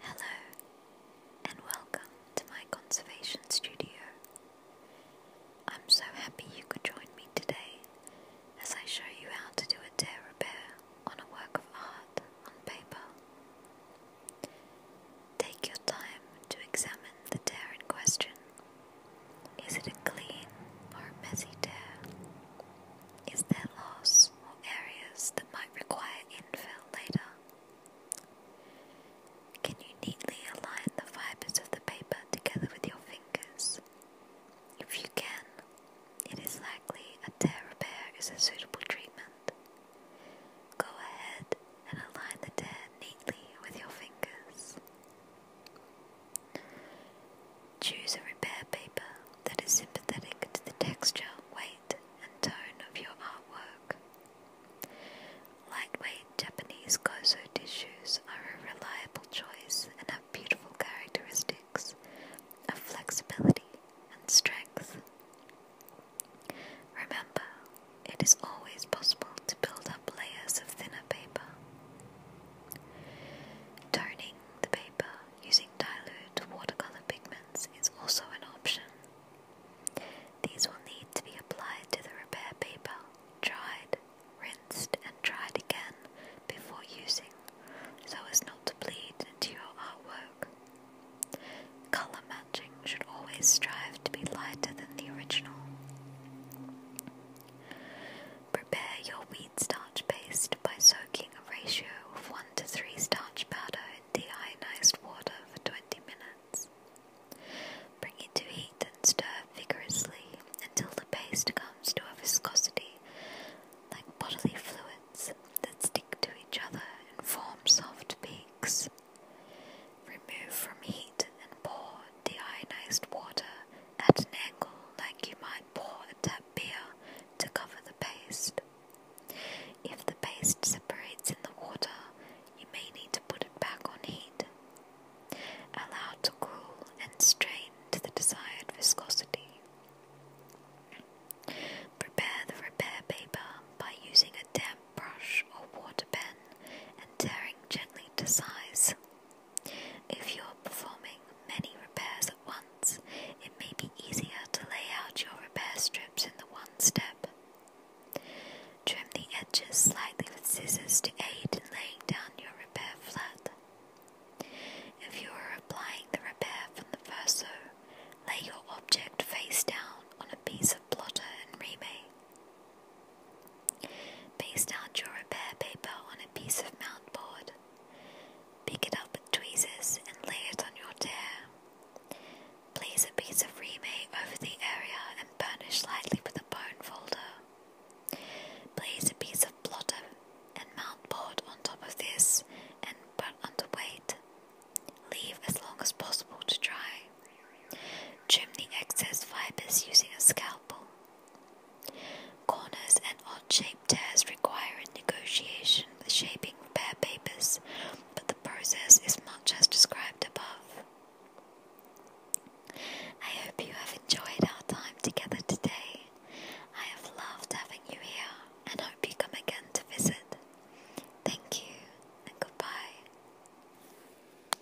Hello, and welcome to my conservation studio. I'm so happy you could join me today as I show you how to do a tear repair on a work of art on paper. Take your time to examine the tear in question. Is it a clean or messy tear? Is there loss? small areas that might require infill later. Can you neatly align the fibres of the paper together with your fingers? If you can, it is likely a tear repair is a suitable treatment. Go ahead and align the tear neatly with your fingers. Choose a repair paper that is sympathetic to the texture, weight, and tone of your artwork. Lightweight Japanese kozo tissues are a reliable choice and have beautiful characteristics of flexibility and strength. Remember, it is always possible to build up layers of thinner paper. Toning the paper using dilute watercolor pigments is also an option. These will need to be applied to the repair paper, dried, rinsed, and dried again before using, so as not to bleed into your artwork. Color matching should always strive to be lighter than the original. Prepare your wheat starch paste by soaking a ratio of 1 to 3 starch powder in deionized water for 20 minutes. Bring it to heat and stir vigorously until the paste comes to a viscosity like bodily fluids that stick to each other and form soft peaks. Remove from heat and pour deionized water at an angle like you might pour a tap beer to cover the paste. If the paste separates in the water, you may need to put it back on heat. Allow to cool and strain to the desired viscosity. Prepare the repair paper by using a damp brush or water pen and tearing gently to size. If you're performing many repairs at once, it may be easier to lay out your repair strips in the one step. Trim the edges slightly with scissors to aid in laying down your repair flat. If you are applying the repair from the verso, lay your object face down on a piece of blotter and remake. Paste out your repair paper on a piece of mount board. Pick it up with tweezers and lay it on your tear. Place a piece of remay over the area and burnish lightly with a bone folder. Place a piece of blotter and mount board on top of this and put under weight. Leave as long as possible to dry. Trim the excess fibers using a scalpel. Corners and odd-shaped tears require a negotiation with shaping repair papers, but the process is much as described above. I hope you have enjoyed our time together today. I have loved having you here and hope you come again to visit. Thank you and goodbye.